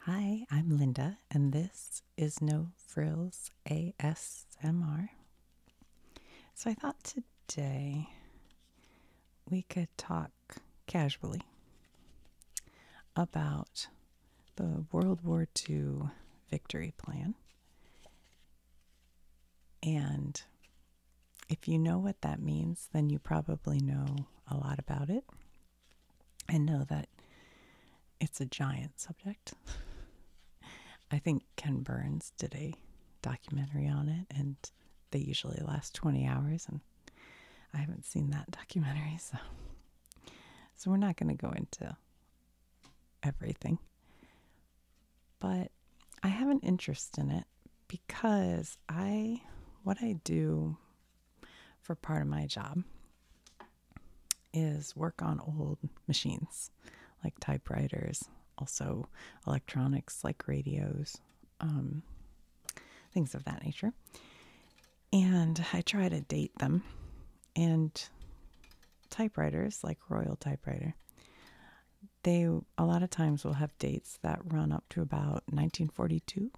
Hi, I'm Linda, and this is No Frills ASMR. So, I thought today we could talk casually about the World War II victory plan. And if you know what that means, then you probably know a lot about it I know that it's a giant subject. I think Ken Burns did a documentary on it, and they usually last 20 hours, and I haven't seen that documentary, so so we're not going to go into everything. But I have an interest in it because I what I do for part of my job is work on old machines like typewriters, also electronics like radios, um, things of that nature. And I try to date them. And typewriters, like Royal Typewriter, they a lot of times will have dates that run up to about 1942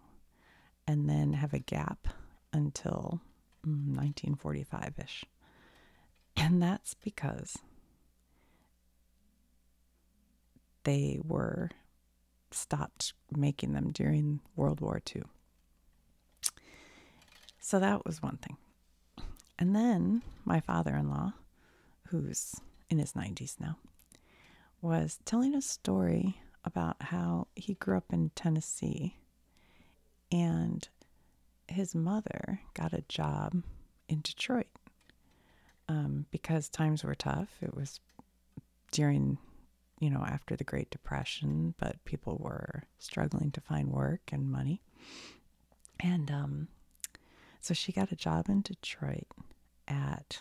and then have a gap until 1945 mm, ish. And that's because they were stopped making them during World War II. So that was one thing. And then my father in law, who's in his 90s now, was telling a story about how he grew up in Tennessee and his mother got a job in Detroit um, because times were tough. It was during, you know, after the Great Depression, but people were struggling to find work and money. And um, so she got a job in Detroit at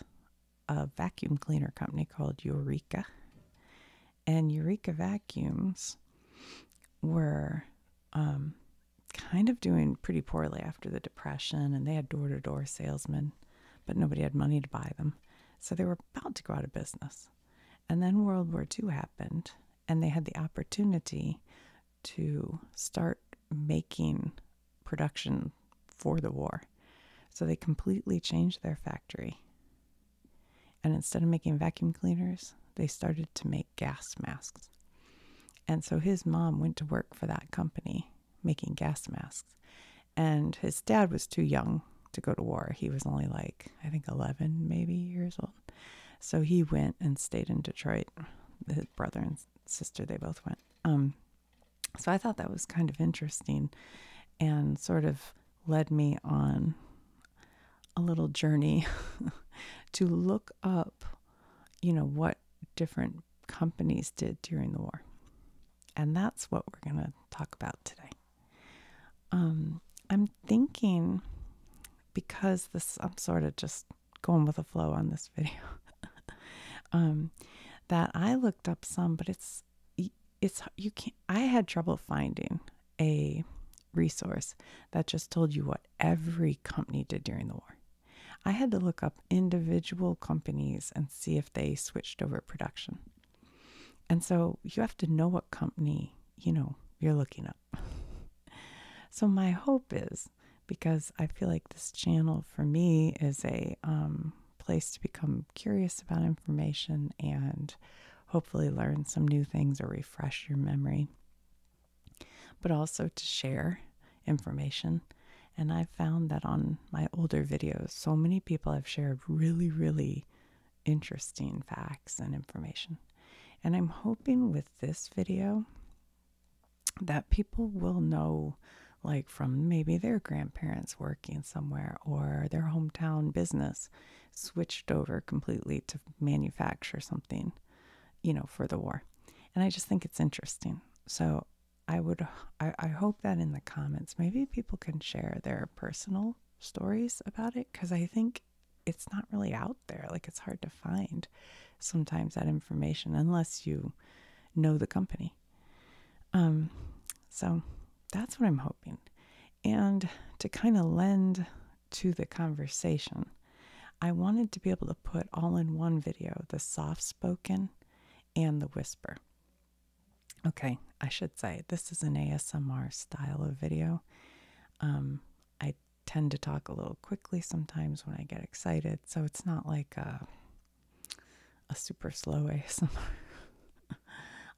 a vacuum cleaner company called Eureka. And Eureka vacuums were um, kind of doing pretty poorly after the Depression, and they had door to door salesmen, but nobody had money to buy them. So they were about to go out of business. And then World War II happened, and they had the opportunity to start making production for the war. So they completely changed their factory. And instead of making vacuum cleaners, they started to make gas masks. And so his mom went to work for that company making gas masks. And his dad was too young to go to war. He was only like, I think 11 maybe years old. So he went and stayed in Detroit. His brother and sister, they both went. Um, so I thought that was kind of interesting and sort of led me on a little journey to look up, you know, what different companies did during the war. And that's what we're going to talk about today. Um, I'm thinking because this, I'm sort of just going with the flow on this video, um, that I looked up some, but it's it's you can't i had trouble finding a resource that just told you what every company did during the war i had to look up individual companies and see if they switched over production and so you have to know what company you know you're looking up so my hope is because i feel like this channel for me is a um, place to become curious about information and hopefully learn some new things or refresh your memory, but also to share information. And I've found that on my older videos, so many people have shared really, really interesting facts and information. And I'm hoping with this video that people will know like from maybe their grandparents working somewhere or their hometown business switched over completely to manufacture something, you know, for the war. And I just think it's interesting. So I would, I, hope that in the comments, maybe people can share their personal stories about it because I think it's not really out there. Like it's hard to find sometimes that information unless you know the company um, so that's what I'm hoping. And to kind of lend to the conversation, I wanted to be able to put all in one video the soft spoken and the whisper. Okay, I should say this is an ASMR style of video. Um, I tend to talk a little quickly sometimes when I get excited, so it's not like a uh, a super slow way,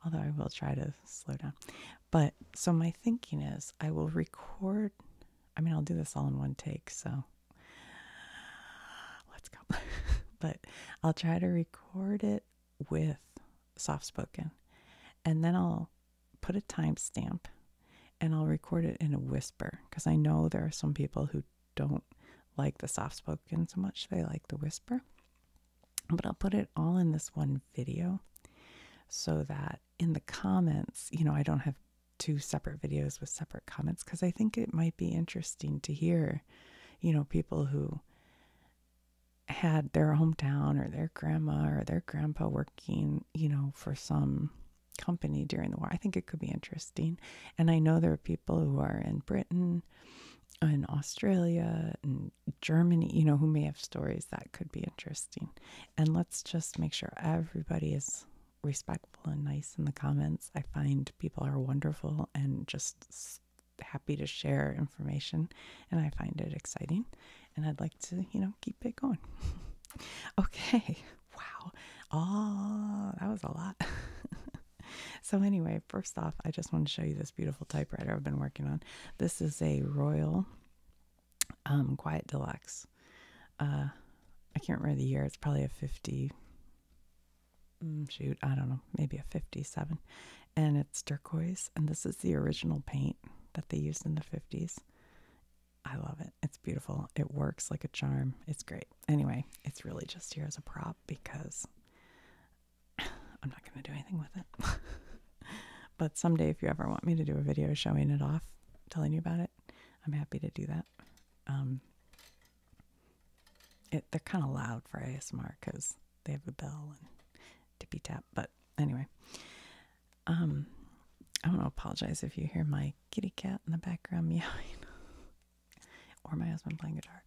Although I will try to slow down. But so my thinking is I will record I mean I'll do this all in one take, so let's go. but I'll try to record it with soft spoken and then I'll put a timestamp and I'll record it in a whisper because I know there are some people who don't like the soft spoken so much, they like the whisper. But I'll put it all in this one video so that in the comments, you know, I don't have two separate videos with separate comments because I think it might be interesting to hear, you know, people who had their hometown or their grandma or their grandpa working, you know, for some company during the war. I think it could be interesting. And I know there are people who are in Britain in Australia and Germany, you know, who may have stories that could be interesting. And let's just make sure everybody is respectful and nice in the comments. I find people are wonderful and just happy to share information, and I find it exciting. And I'd like to, you know, keep it going. okay, wow, oh, that was a lot. so anyway, first off, I just want to show you this beautiful typewriter I've been working on. This is a Royal um, Quiet Deluxe. Uh, I can't remember the year. It's probably a 50, mm, shoot, I don't know, maybe a 57. And it's turquoise. And this is the original paint that they used in the 50s. I love it. It's beautiful. It works like a charm. It's great. Anyway, it's really just here as a prop because I'm not going to do anything with it. but someday, if you ever want me to do a video showing it off, telling you about it, I'm happy to do that. Um, it, they're kind of loud for ASMR because they have a bell and tippy tap. But anyway, um, I want to apologize if you hear my kitty cat in the background meowing or my husband playing guitar.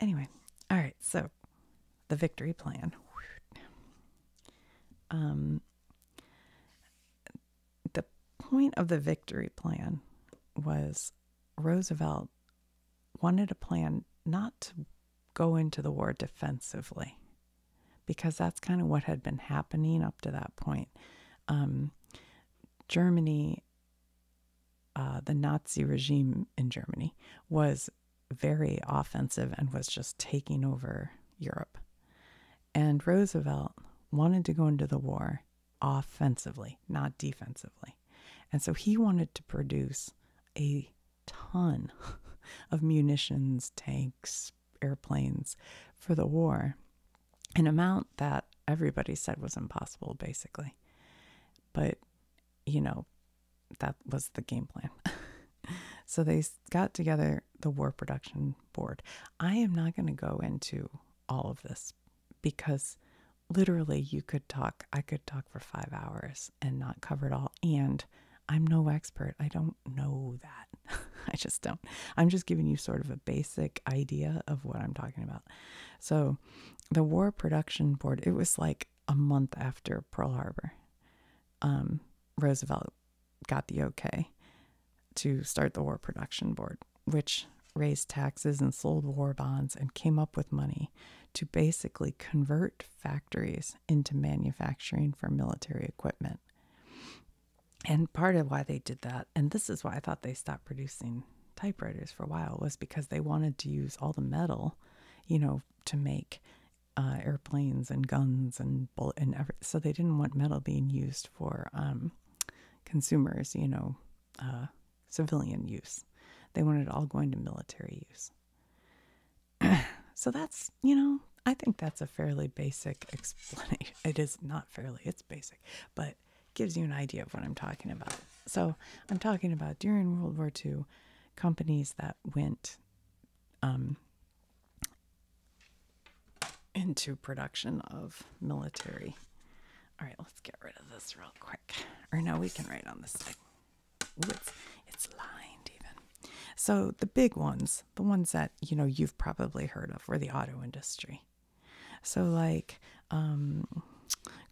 Anyway, all right, so the victory plan. Um, the point of the victory plan was Roosevelt wanted a plan not to go into the war defensively because that's kind of what had been happening up to that point. Um, Germany uh, the Nazi regime in Germany was very offensive and was just taking over Europe. And Roosevelt wanted to go into the war offensively, not defensively. And so he wanted to produce a ton of munitions, tanks, airplanes for the war, an amount that everybody said was impossible, basically. But, you know, that was the game plan. so they got together the War Production Board. I am not going to go into all of this because literally you could talk, I could talk for five hours and not cover it all. And I'm no expert. I don't know that. I just don't. I'm just giving you sort of a basic idea of what I'm talking about. So, the War Production Board, it was like a month after Pearl Harbor, um, Roosevelt got the okay to start the War Production Board, which raised taxes and sold war bonds and came up with money to basically convert factories into manufacturing for military equipment. And part of why they did that, and this is why I thought they stopped producing typewriters for a while, was because they wanted to use all the metal, you know, to make uh, airplanes and guns and bullet and every, so they didn't want metal being used for um, consumers, you know, uh, civilian use. They wanted it all going to military use. so that's you know I think that's a fairly basic explanation. It is not fairly; it's basic, but gives you an idea of what I'm talking about. So I'm talking about during World War II, companies that went um, into production of military. All right, let's get rid of this real quick. Or no, we can write on this side. it's, it's lined even. So the big ones, the ones that, you know, you've probably heard of were the auto industry. So like um,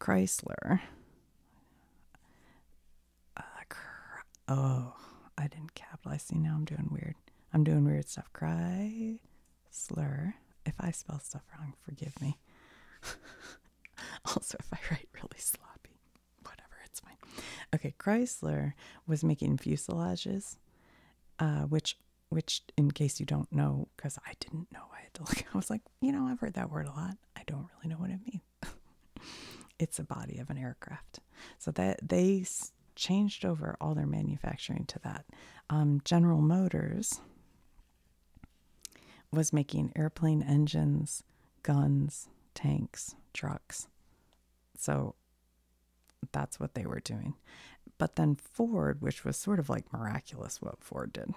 Chrysler, uh, oh, I didn't capitalize. See, now I'm doing weird. I'm doing weird stuff. Cry, slur. If I spell stuff wrong, forgive me. also, if I write really sloppy, whatever, it's fine. Okay, Chrysler was making fuselages, uh, which, which, in case you don't know, because I didn't know, I had to look. I was like, you know, I've heard that word a lot. I don't really know what it means. it's a body of an aircraft. So that they changed over all their manufacturing to that. Um, General Motors was making airplane engines, guns, tanks, trucks. So that's what they were doing. But then Ford, which was sort of like miraculous what Ford did,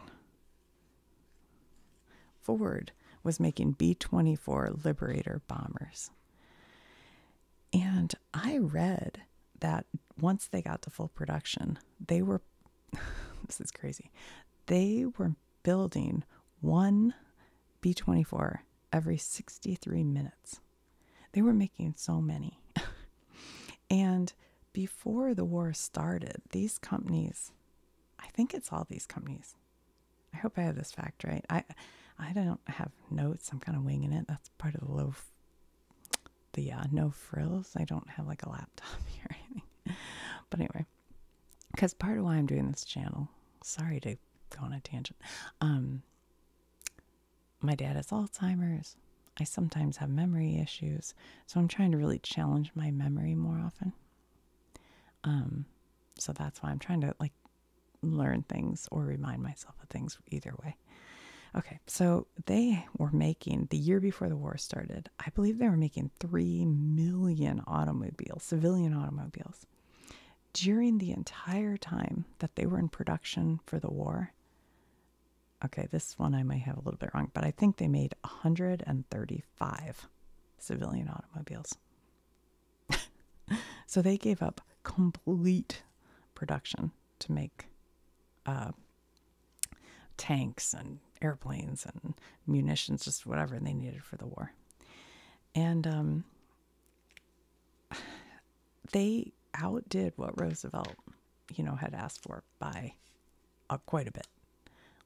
Ford was making B 24 Liberator bombers. And I read that once they got to full production, they were, this is crazy, they were building one B 24 every 63 minutes. They were making so many. and before the war started, these companies, I think it's all these companies, I hope I have this fact right. I I don't have notes. I'm kind of winging it. That's part of the low, the uh, no frills. I don't have like a laptop here But anyway, because part of why I'm doing this channel, sorry to go on a tangent. Um, my dad has Alzheimer's. I sometimes have memory issues, so I'm trying to really challenge my memory more often. Um, so that's why I'm trying to like learn things or remind myself of things either way. Okay, so they were making the year before the war started, I believe they were making 3 million automobiles, civilian automobiles. During the entire time that they were in production for the war, okay, this one I may have a little bit wrong, but I think they made 135 civilian automobiles. so they gave up complete production to make uh, tanks and airplanes and munitions, just whatever they needed for the war. And um, they outdid what Roosevelt, you know, had asked for by quite a bit.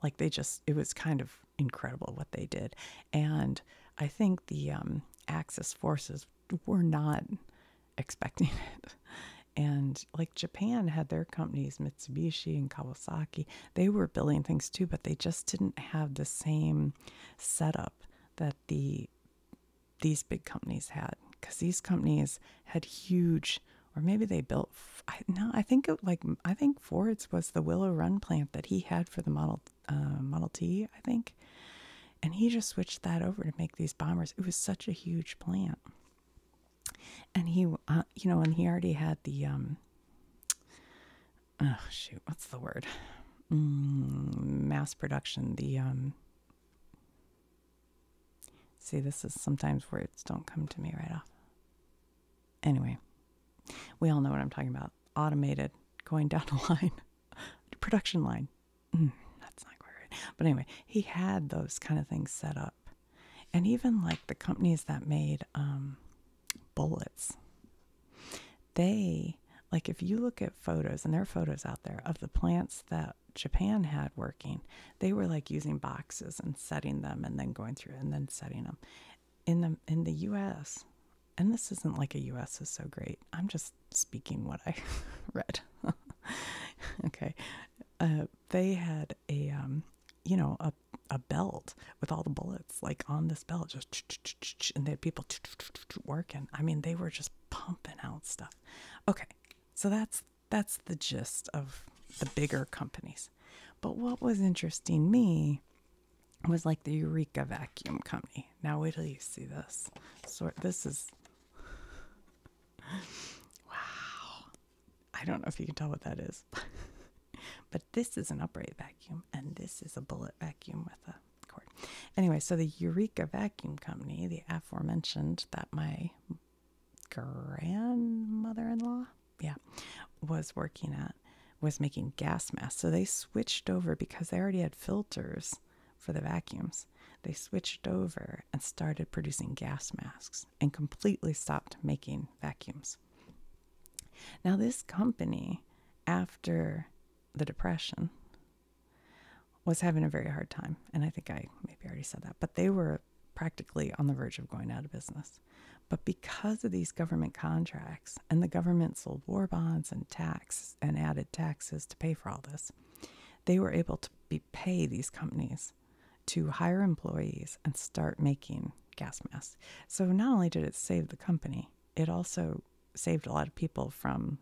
Like they just, it was kind of incredible what they did. And I think the um, Axis forces were not expecting it. And like Japan had their companies, Mitsubishi and Kawasaki, they were building things too, but they just didn't have the same setup that the these big companies had because these companies had huge or maybe they built I, no, I think like I think Ford's was the Willow Run plant that he had for the Model uh, Model T, I think, and he just switched that over to make these bombers. It was such a huge plant, and he, uh, you know, and he already had the um, Oh shoot, what's the word? Mm, mass production. The um, See, this is sometimes words don't come to me right off. Anyway, we all know what I'm talking about. Automated, going down the line, production line. Mm, that's not quite right. But anyway, he had those kind of things set up. And even like the companies that made um, bullets, they, like, if you look at photos, and there are photos out there of the plants that Japan had working, they were like using boxes and setting them and then going through and then setting them in the in the US and this isn't like a US is so great. I'm just speaking what I read. okay. Uh, they had a um, you know, a a belt with all the bullets like on this belt just and they had people working. I mean, they were just pumping out stuff. Okay. So that's that's the gist of the bigger companies. But what was interesting me was like the Eureka Vacuum Company. Now wait till you see this. Sort this is wow. I don't know if you can tell what that is, but this is an upright vacuum, and this is a bullet vacuum with a cord. Anyway, so the Eureka Vacuum Company, the aforementioned that my grandmother-in-law yeah, was working at was making gas masks. So they switched over because they already had filters for the vacuums. They switched over and started producing gas masks and completely stopped making vacuums. Now, this company, after the Depression, was having a very hard time. And I think I maybe already said that, but they were practically on the verge of going out of business. But because of these government contracts and the government sold war bonds and tax and added taxes to pay for all this, they were able to pay these companies to hire employees and start making gas masks. So not only did it save the company, it also saved a lot of people from,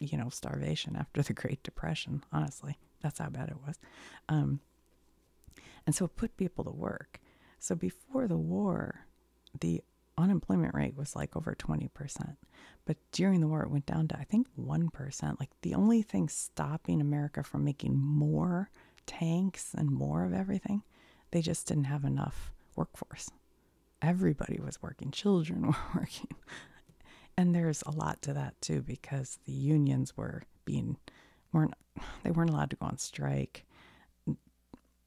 you know, starvation after the Great Depression. Honestly, that's how bad it was. Um, and so it put people to work. So before the war, the unemployment rate was like over 20%. But during the war, it went down to, I think, 1%. Like the only thing stopping America from making more tanks and more of everything, they just didn't have enough workforce. Everybody was working, children were working. And there's a lot to that too, because the unions were being weren't they weren't allowed to go on strike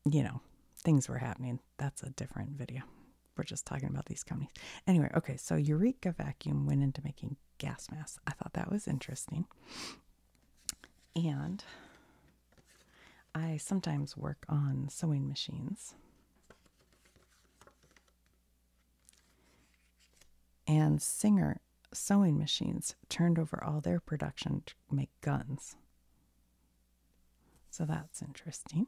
you know, things were happening. That's a different video. We're just talking about these companies. Anyway, okay, so Eureka Vacuum went into making gas masks. I thought that was interesting. And I sometimes work on sewing machines. And Singer sewing machines turned over all their production to make guns. So that's interesting.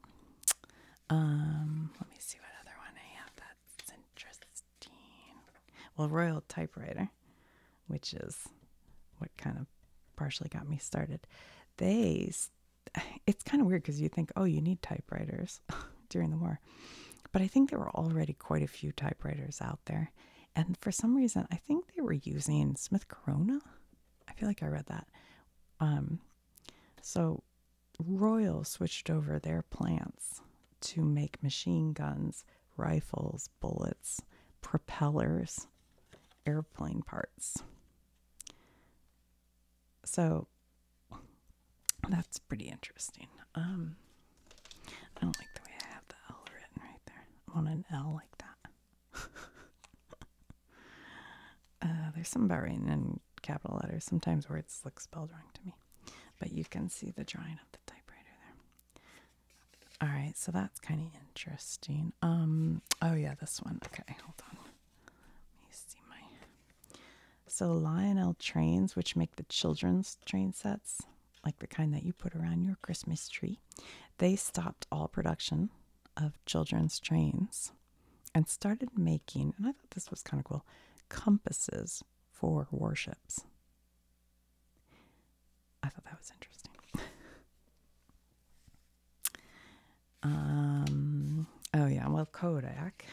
Um, let me see what other one I have that's interesting. Well, Royal Typewriter, which is what kind of partially got me started. They, it's kind of weird because you think, oh, you need typewriters during the war. But I think there were already quite a few typewriters out there. And for some reason, I think they were using Smith Corona. I feel like I read that. Um, so Royal switched over their plants to make machine guns, rifles, bullets, propellers, airplane parts. So that's pretty interesting. Um, I don't like the way I have the L written right there. I want an L like that. Uh, there's some about writing in capital letters. Sometimes words look spelled wrong to me, but you can see the drawing of the typewriter there. All right, so that's kind of interesting. Um, oh yeah, this one. Okay, hold on. Let me see my. So Lionel trains, which make the children's train sets, like the kind that you put around your Christmas tree. They stopped all production of children's trains and started making, and I thought this was kind of cool, compasses for warships. I thought that was interesting. um, oh, yeah, well, Kodak.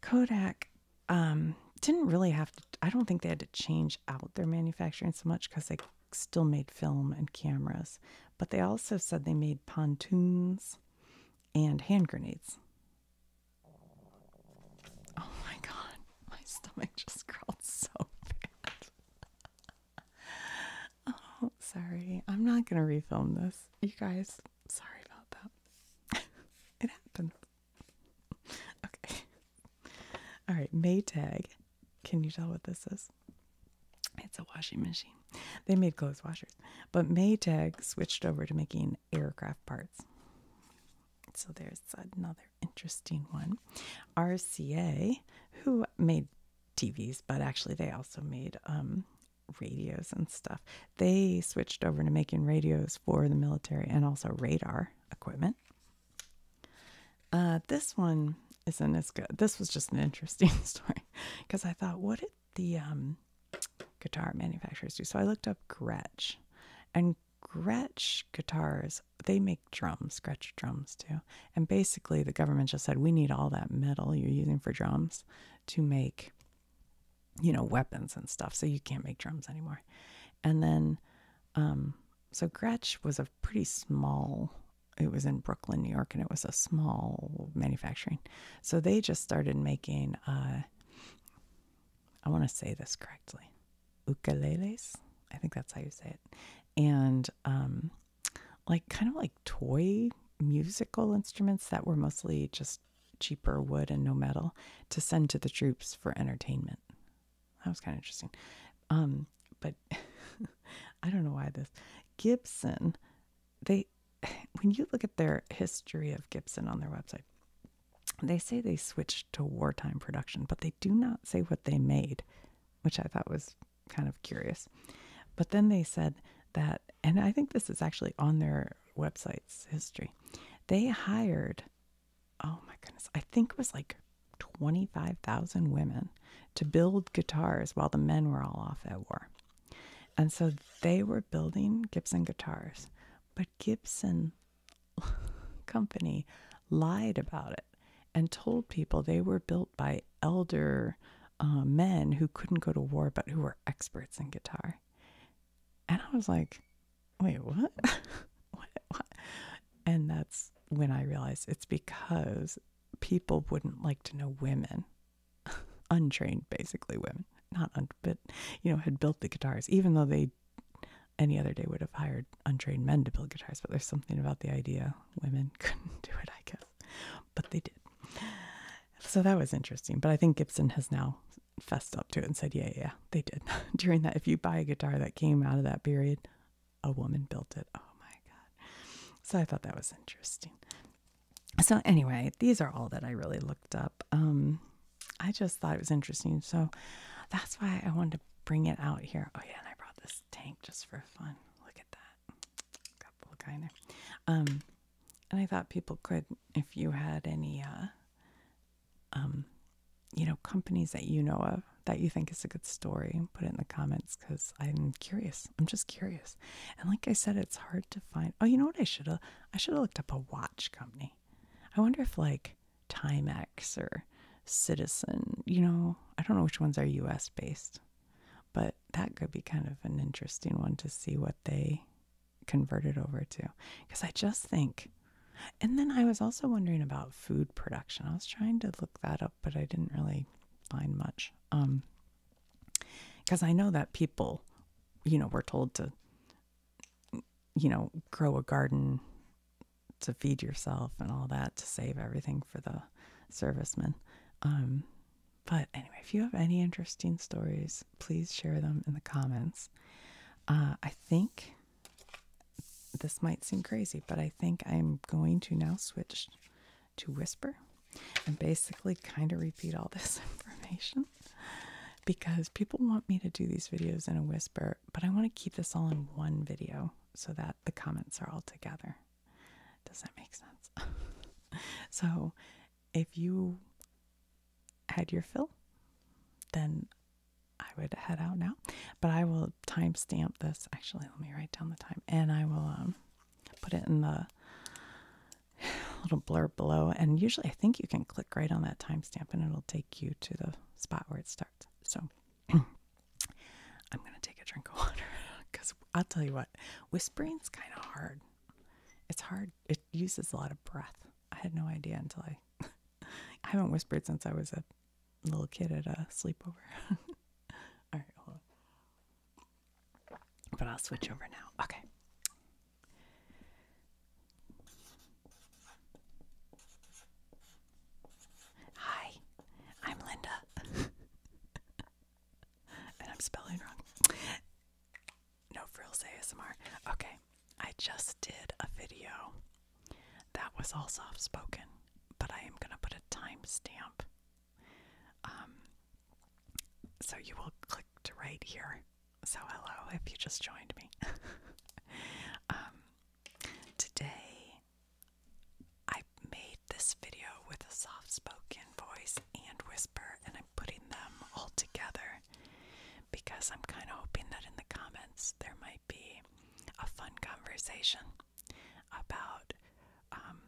Kodak um, didn't really have to, I don't think they had to change change out their manufacturing so much because they still made film and cameras. But they also said they made pontoons and hand grenades. Oh my god, my stomach just growled so bad. oh, sorry. I'm not going to refilm this. You guys, sorry about that. it happened. okay. All right, Maytag. Can you tell what this is? It's a washing machine. They made clothes washers, but Maytag switched over to making aircraft parts. So there's another interesting one. RCA, who made TVs, but actually they also made um, radios and stuff. They switched over to making radios for the military and also radar equipment. Uh, this one isn't as good. This was just an interesting story because I thought, what did the um, guitar manufacturers do? So I looked up Gretsch, and Gretsch guitars, they make drums, Gretsch drums too. And basically, the government just said, we need all that metal you're using for drums to make, you know, weapons and stuff. So you can't make drums anymore. And then, um, so Gretsch was a pretty small. It was in Brooklyn, New York, and it was a small manufacturing. So they just started making, uh, I want to say this correctly, ukuleles. I think that's how you say it. And um, like kind of like toy musical instruments that were mostly just cheaper wood and no metal to send to the troops for entertainment. That was kind of interesting. Um, but I don't know why this Gibson, they when you look at their history of Gibson on their website, they say they switched to wartime production, but they do not say what they made, which I thought was kind of curious. But then they said that, and I think this is actually on their website's history, they hired oh my goodness, I think it was like 25,000 women to build guitars while the men were all off at war. And so they were building Gibson guitars, but Gibson Company lied about it and told people they were built by elder uh, men who couldn't go to war but who were experts in guitar. And I was like, wait, what? what? what? And that's when I realized it's because people wouldn't like to know women, untrained, basically women, not, un- but, you know, had built the guitars, even though they any other day would have hired untrained men to build guitars, but there's something about the idea women couldn't do it, I guess. But they did. So that was interesting. But I think Gibson has now fessed up to it and said, yeah, yeah, they did. During that, if you buy a guitar that came out of that period, a woman built it. Oh my God. So I thought that was interesting. So, anyway, these are all that I really looked up. Um, I just thought it was interesting. So that's why I wanted to bring it out here. Oh, yeah, and I brought this tank just for fun. Look at that. Got a little guy there. Um, and I thought people could, if you had any, uh, um, you know, companies that you know of that you think is a good story. Put it in the comments because I'm curious. I'm just curious. And like I said, it's hard to find. Oh, you know what? I should have. I should have looked up a watch company. I wonder if like Timex or Citizen. You know, I don't know which ones are U.S. based, but that could be kind of an interesting one to see what they converted over to. Because I just think. And then I was also wondering about food production. I was trying to look that up but I didn't really find much. because um, I know that people, you know, were told to, you know, grow a garden to feed yourself and all that to save everything for the servicemen. Um, but anyway, if you have any interesting stories, please share them in the comments. Uh, I think this might seem crazy, but I think I'm going to now switch to whisper and basically kind of repeat all this information because people want me to do these videos in a whisper, but I want to keep this all in one video so that the comments are all together. Does that make sense? so, if you had your fill, then I would head out now. But I will timestamp this. Actually, let me write down the time and I will um, put it in the little blurb below. And usually, I think you can click right on that timestamp and it'll take you to the spot where it starts. So I'm going to take a drink of water because I'll tell you what, whispering's kind of hard. It's hard, it uses a lot of breath. I had no idea until I. I haven't whispered since I was a little kid at a sleepover. All right, hold on. But I'll switch over now. Okay. Hi, I'm Linda. and I'm spelling wrong. No frills ASMR. Okay, I just did a video that was all soft spoken but I am going to put a timestamp. Um, so you will click to right here. So, hello if you just joined me. um, today, I made this video with a soft spoken voice and whisper, and I'm putting them all together because I'm kind of hoping that in the comments there might be a fun conversation about um,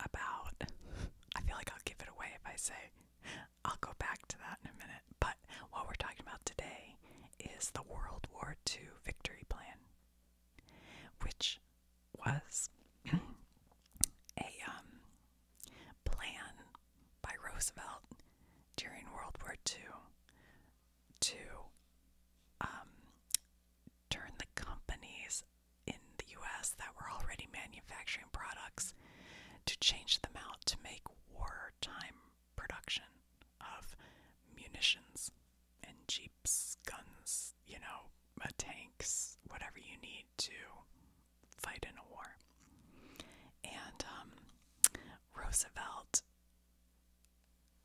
about I feel like I'll give it away if I say I'll go back to that in a minute. But what we're talking about today is the World War II Victory Plan, which was a um, plan by Roosevelt during World War II to um, turn the companies in the US that were already manufacturing products to change them out to make wartime production of munitions and jeeps, guns, you know, uh, tanks, whatever you need to fight in a war. And um, Roosevelt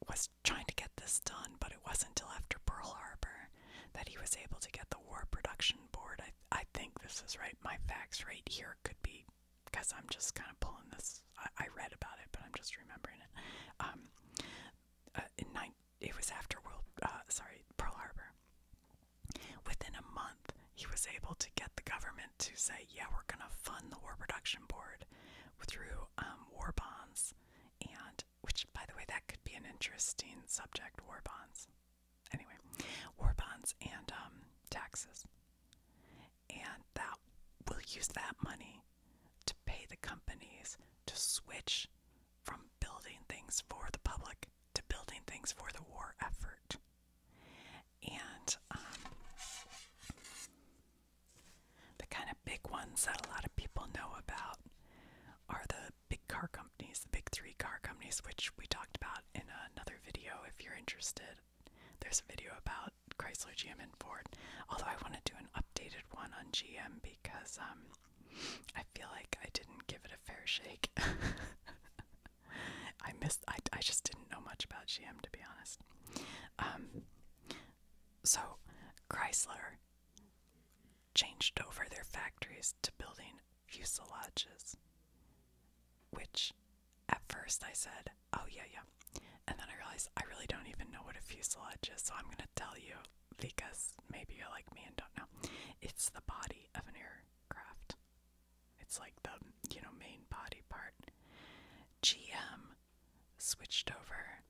was trying to get this done, but it wasn't until after Pearl Harbor that he was able to get the War Production Board. I, I think this is right. My facts right here could be because I'm just kind of pulling this. I, read about it, but I'm just remembering it. Um, uh, in nine, it was after World. Uh, sorry, Pearl Harbor. Within a month, he was able to get the government to say, "Yeah, we're gonna fund the War Production Board," through um, war bonds, and which, by the way, that could be an interesting subject war bonds. Anyway, war bonds and um, taxes. And that will use that money to pay the companies to switch from building things for the public to building things for the war effort. And um, the kind of big ones that a lot of people know about are the big car companies, the big three car companies, which we talked about in another video if you're interested. There's a video about Chrysler, GM, and Ford. Although I want to do an updated one on GM because um, I feel like I didn't give it a fair shake. I missed. I I just didn't know much about GM to be honest. Um, so, Chrysler changed over their factories to building fuselages, which at first I said, oh, yeah, yeah. And then I realized I really don't even know what a fuselage is, so I'm going to tell you because maybe you're like me and don't know. It's the body of an aircraft. It's like the, you know, main body part. GM switched over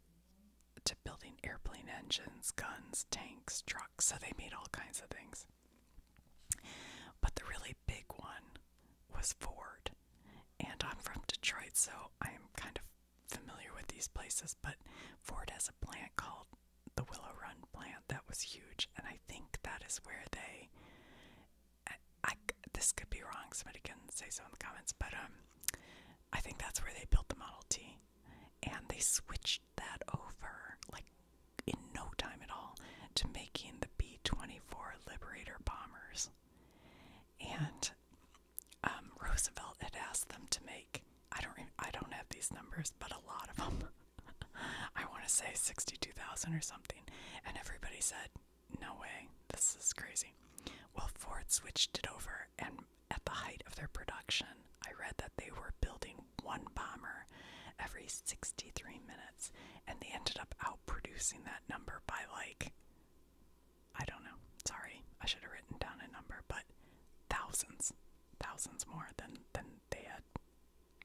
to building airplane engines, guns, tanks, trucks. So they made all kinds of things. But the really big one was Ford. And I'm from Detroit, so I'm kind of familiar with these places. But Ford has a plant called the Willow Run plant that was huge. And I think that is where they. I, this could be wrong. Somebody can say so in the comments. But um, I think that's where they built the Model T. And they switched that over, like in no time at all, to making the B 24 Liberator bombers. And um, Roosevelt had asked them to make, I don't, I don't have these numbers, but a lot of them. I want to say 62,000 or something. And everybody said, no way. This is crazy. Well, Ford switched it over, and at the height of their production, I read that they were building one bomber every 63 minutes, and they ended up outproducing that number by like, I don't know, sorry, I should have written down a number, but thousands, thousands more than, than they had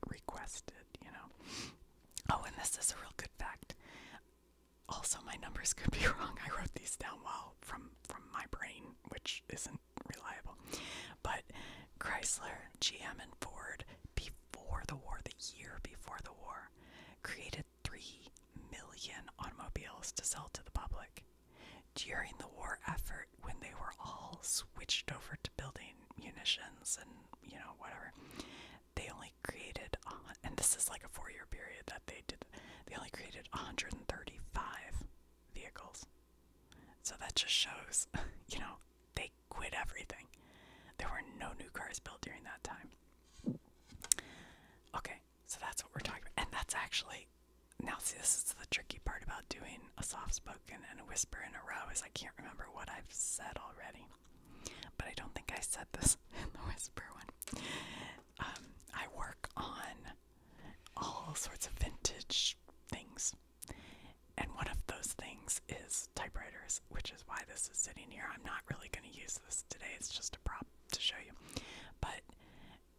requested, you know. Oh, and this is a real good fact. Also, my numbers could be wrong. I wrote these down while from from my brain, which isn't reliable. But Chrysler, GM, and Ford, before the war, the year before the war, created three million automobiles to sell to the public. During the war effort, when they were all switched over to building munitions and you know whatever, they only created, and this is like a four year period that they did, they only created 135 vehicles. So that just shows, you know, they quit everything. There were no new cars built during that time. Okay, so that's what we're talking about. And that's actually, now see, this is the tricky part about doing a soft spoken and a whisper in a row is I can't remember what I've said already. But I don't think I said this in the whisper one um, I work on all sorts of vintage things. And one of those things is typewriters, which is why this is sitting here. I'm not really going to use this today, it's just a prop to show you. But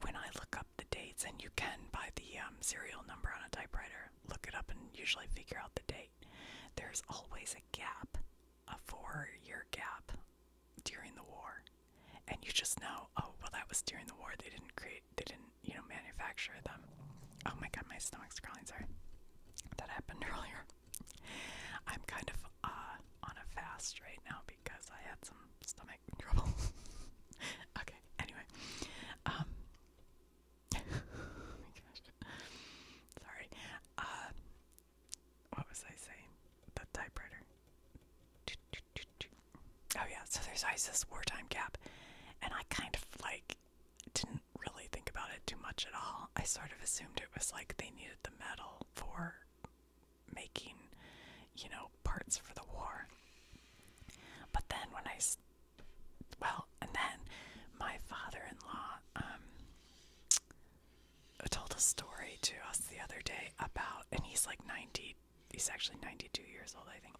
when I look up the dates, and you can by the um, serial number on a typewriter, look it up and usually figure out the date, there's always a gap a four year gap during the war and you just know oh well that was during the war they didn't create they didn't you know manufacture them oh my god my stomach's growling sorry that happened earlier i'm kind of uh, on a fast right now because i had some stomach trouble okay anyway um oh sorry uh, what was I saying? The typewriter. Oh yeah, so there's ISIS wartime gap, and I kind of like didn't really think about it too much at all. I sort of assumed it was like they needed the metal for making, you know, parts for the war. But then when I, well, and then my father-in-law, um, told a story to us the other day about, and he's like 90, he's actually 92 years old, I think.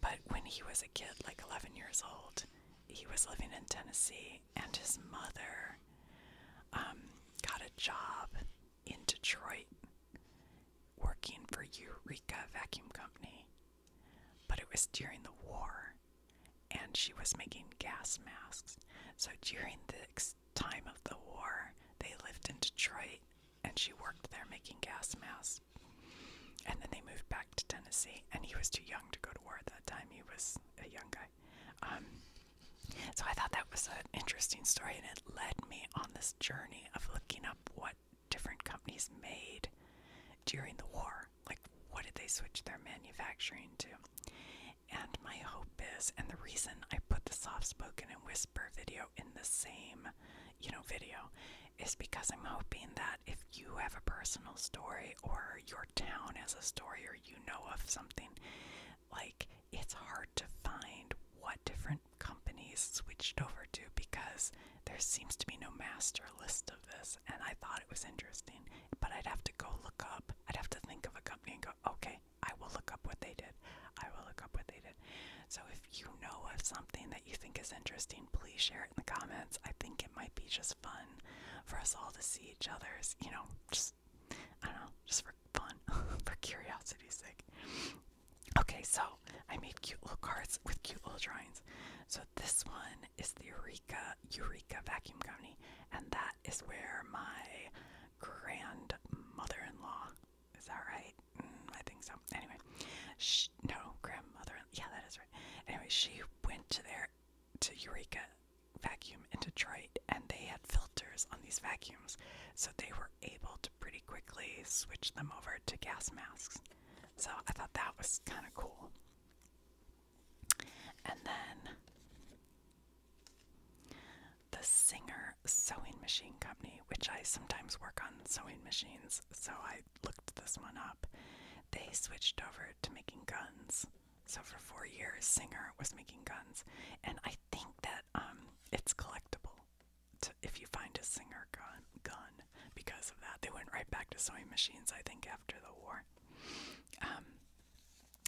But when he was a kid, like 11 years old, he was living in Tennessee, and his mother um, got a job in Detroit working for Eureka Vacuum Company. But it was during the war, and she was making gas masks. So during the time of the war, they lived in Detroit and she worked there making gas masks. And then they moved back to Tennessee, and he was too young to go to war at that time. He was a young guy. Um, so I thought that was an interesting story, and it led me on this journey of looking up what different companies made during the war. Like, what did they switch their manufacturing to? And my hope is, and the reason I put the soft spoken and whisper video in the same, you know, video is because I'm hoping that if you have a personal story or your town has a story or you know of something, like it's hard to find what different companies switched over to because there seems to be no master list of this. And I thought it was interesting, but I'd have to go look up, I'd have to think of a company and go, okay, I will look up what they did. I will look up what they did. So if you know of something that you think is interesting, please share it in the comments. I think it might be just fun for us all to see each other's, you know, just I don't know, just for fun, for curiosity's sake. Okay, so I made cute little cards with cute little drawings. So this one is the Eureka Eureka Vacuum Company, and that that is where my grandmother-in-law is that right? Mm, I think so. Anyway, she, no grandmother. Yeah, that is right. Anyway, she went to there to Eureka Vacuum in Detroit, and they had filters on these vacuums, so they were able to pretty quickly switch them over to gas masks. So I thought that was kind of cool. And then the Singer Sewing Machine Company, which I sometimes work on sewing machines, so I looked this one up. They switched over to making guns. So for four years, Singer was making guns, and I think that um, it's collectible. To, if you find a Singer gun, gun, because of that, they went right back to sewing machines. I think after the war. Um,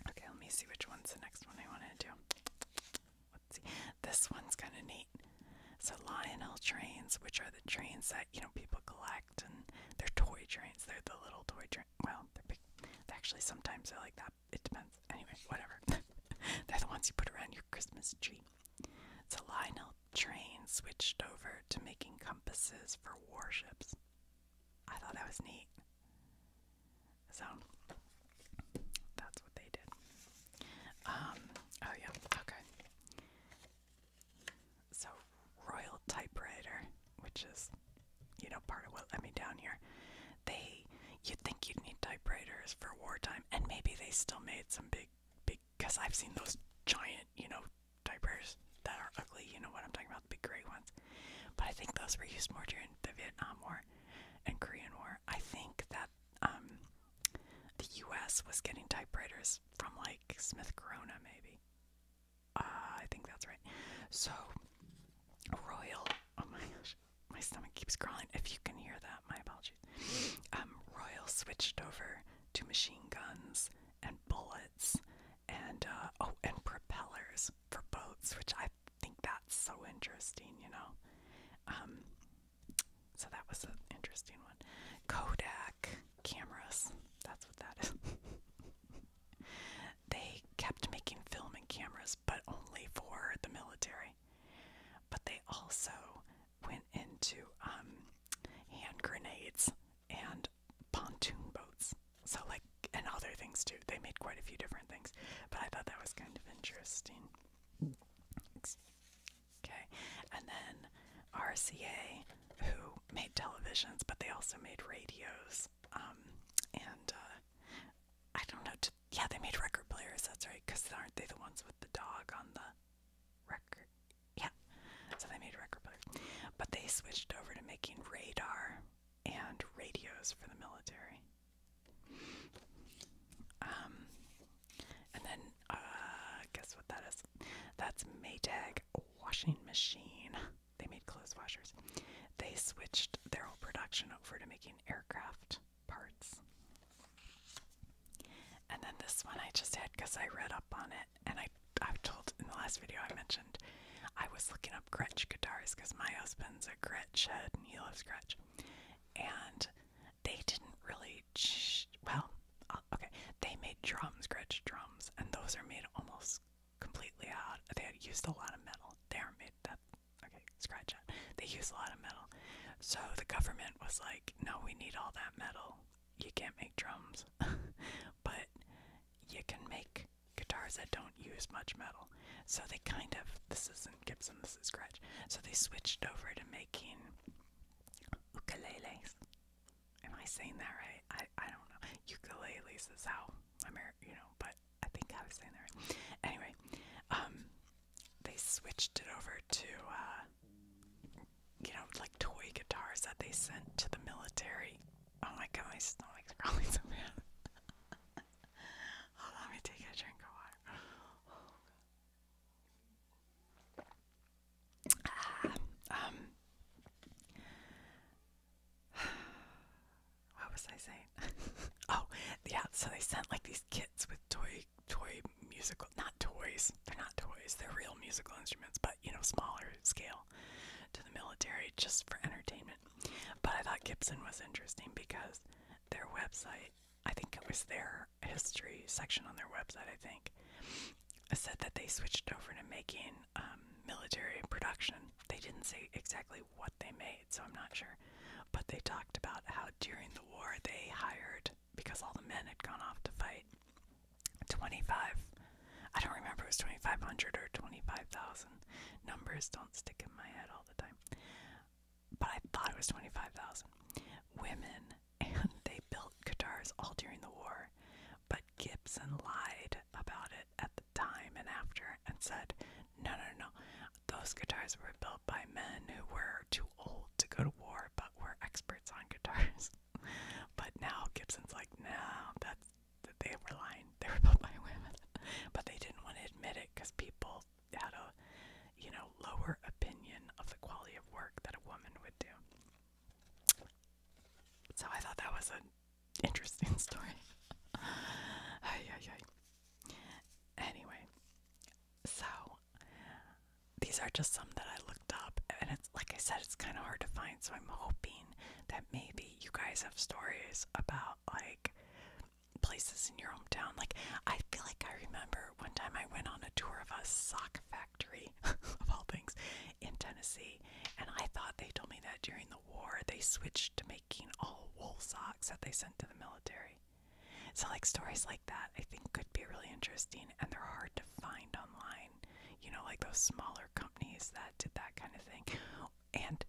okay, let me see which one's the next one I want to do see. This one's kind of neat. So Lionel trains, which are the trains that you know people collect, and they're toy trains. They're the little toy train. Well, they're big. actually, sometimes they're like that. It depends. Anyway, whatever. they're the ones you put around your Christmas tree. So Lionel trains switched over to making compasses for warships. I thought that was neat. So that's what they did. Um, oh yeah, okay. So Royal Typewriter, which is you know part of what let me down here. They you think you'd need typewriters for wartime and maybe they still made some big big cuz I've seen those giant, you know, typewriters that are ugly, you know what I'm talking about, the big gray ones. But I think those were used more during the Vietnam War and Korean War, I think that um, the U.S. was getting typewriters from like Smith Corona, maybe. Uh, I think that's right. So, Royal. Oh my gosh, my stomach keeps crawling. If you can hear that, my apologies. Um, Royal switched over to machine guns and bullets and uh, oh, and propellers for boats, which I think that's so interesting, you know. Um, so that was an interesting one. Kodak cameras, that's what that is. they kept making film and cameras, but only for the military. But they also went into um, hand grenades and pontoon boats. So, like, and other things too. They made quite a few different things, but I thought that was kind of interesting. Okay, and then RCA, who made televisions, but they also made radios. Um, and uh, I don't know. Yeah, they made record players. That's right. Because aren't they the ones with the dog on the record? Yeah. So they made record players, but they switched over to making radar and radios for the military. Um, and then uh, guess what that is? That's Maytag washing machine. They made clothes washers. They switched their whole production over to making aircraft parts. And then this one I just had because I read up on it, and I I've told in the last video I mentioned I was looking up Grinch guitars because my husband's a Grinch head and he loves Grinch and they didn't really. well, uh, okay, they made drums, Gretsch drums, and those are made almost completely out. They used a lot of metal. They are made that. Okay, scratch They used a lot of metal, so the government was like, "No, we need all that metal. You can't make drums, but you can make." guitars that don't use much metal. So they kind of, this is Gibson. Gibson, this is Scratch. So they switched over to making ukuleles. Am I saying that right? I, I don't know. Ukuleles is how I'm, you know, but I think I was saying that right. Anyway, um, they switched it over to, uh, you know, like toy guitars that they sent to the military. Oh my god, my stomach's growling so bad. Hold on, let me take a drink of water. Ah, um, what was I saying? oh, yeah. So they sent like these kits with toy, toy musical, not toys. They're not toys. They're real musical instruments, but you know, smaller scale, to the military just for entertainment. But I thought Gibson was interesting because their website I think it was their history section on their website, I think, said that they switched over to making um, military production. They didn't say exactly what they made, so I'm not sure. But they talked about how during the war they hired, because all the men had gone off to fight, 25, I don't remember it was 2,500 or 25,000. Numbers don't stick in my head all the time but I thought it was 25,000 women, and they built guitars all during the war. But Gibson lied about it at the time and after and said, no, no, no, those guitars were built by men who were too old to go to war but were experts on guitars. but now Gibson's like, no, that's, they were lying. They were built by women. but they didn't want to admit it because people had a, you know, lower opinion of the quality of work that a woman would do. So I thought that was an interesting story. Anyway, so these are just some that I looked up, and it's like I said, it's kind of hard to find. So I'm hoping that maybe you guys have stories about like places in your hometown. Like, I feel like I remember one time I went on a tour of a sock factory, of all things, in Tennessee. And I thought they told me that during the war they switched to making all wool socks that they sent to the military. So, like, stories like that I think could be really interesting and they're hard to find online. You know, like those smaller companies that did that kind of thing. And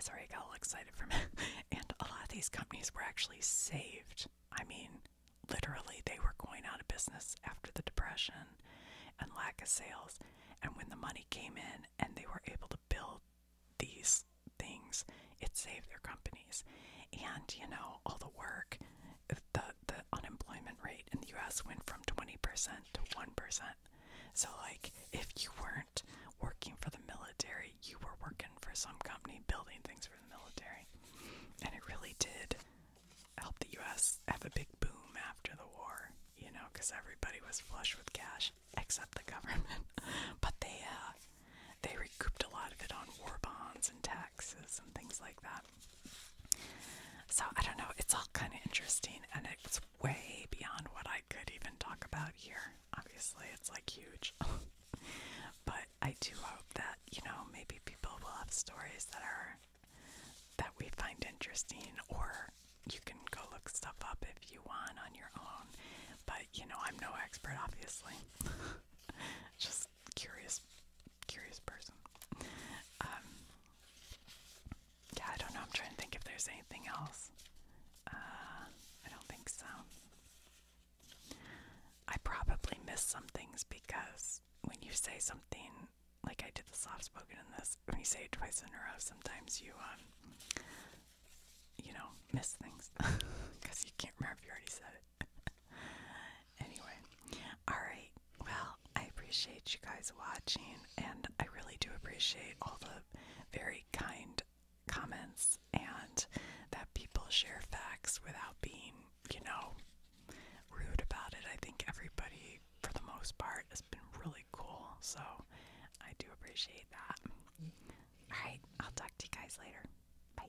Sorry, I got all excited from it. and a lot of these companies were actually saved. I mean, literally, they were going out of business after the Depression and lack of sales. And when the money came in and they were able to build these things, it saved their companies. And, you know, all the work, the, the unemployment rate in the US went from 20% to 1%. So, like, if you weren't working for the military, you were working for some company building things for the military. And it really did help the US have a big boom after the war, you know, because everybody was flush with cash except the government. but they, uh, they recouped a lot of it on war bonds and taxes and things like that. So I don't know, it's all kind of interesting and it's way beyond what I could even talk about here. Obviously, it's like huge. but I do hope that you know maybe people will have stories that are that we find interesting, or you can go look stuff up if you want on your own. But you know, I'm no expert, obviously. Just curious, curious person. Um, yeah, I don't know. I'm trying to think if there's anything else. Uh, I don't think so. I probably miss some things because when you say something like I did the soft spoken in this, when you say it twice in a row, sometimes you um, you know miss things because you can't remember if you already said it. anyway, all right. Well, I appreciate you guys watching, and I really do appreciate all the very kind comments and that people share facts without being, you know, rude about it. I think everybody, for the most part, has been really cool. So I do appreciate that. All right, I'll talk to you guys later. Bye.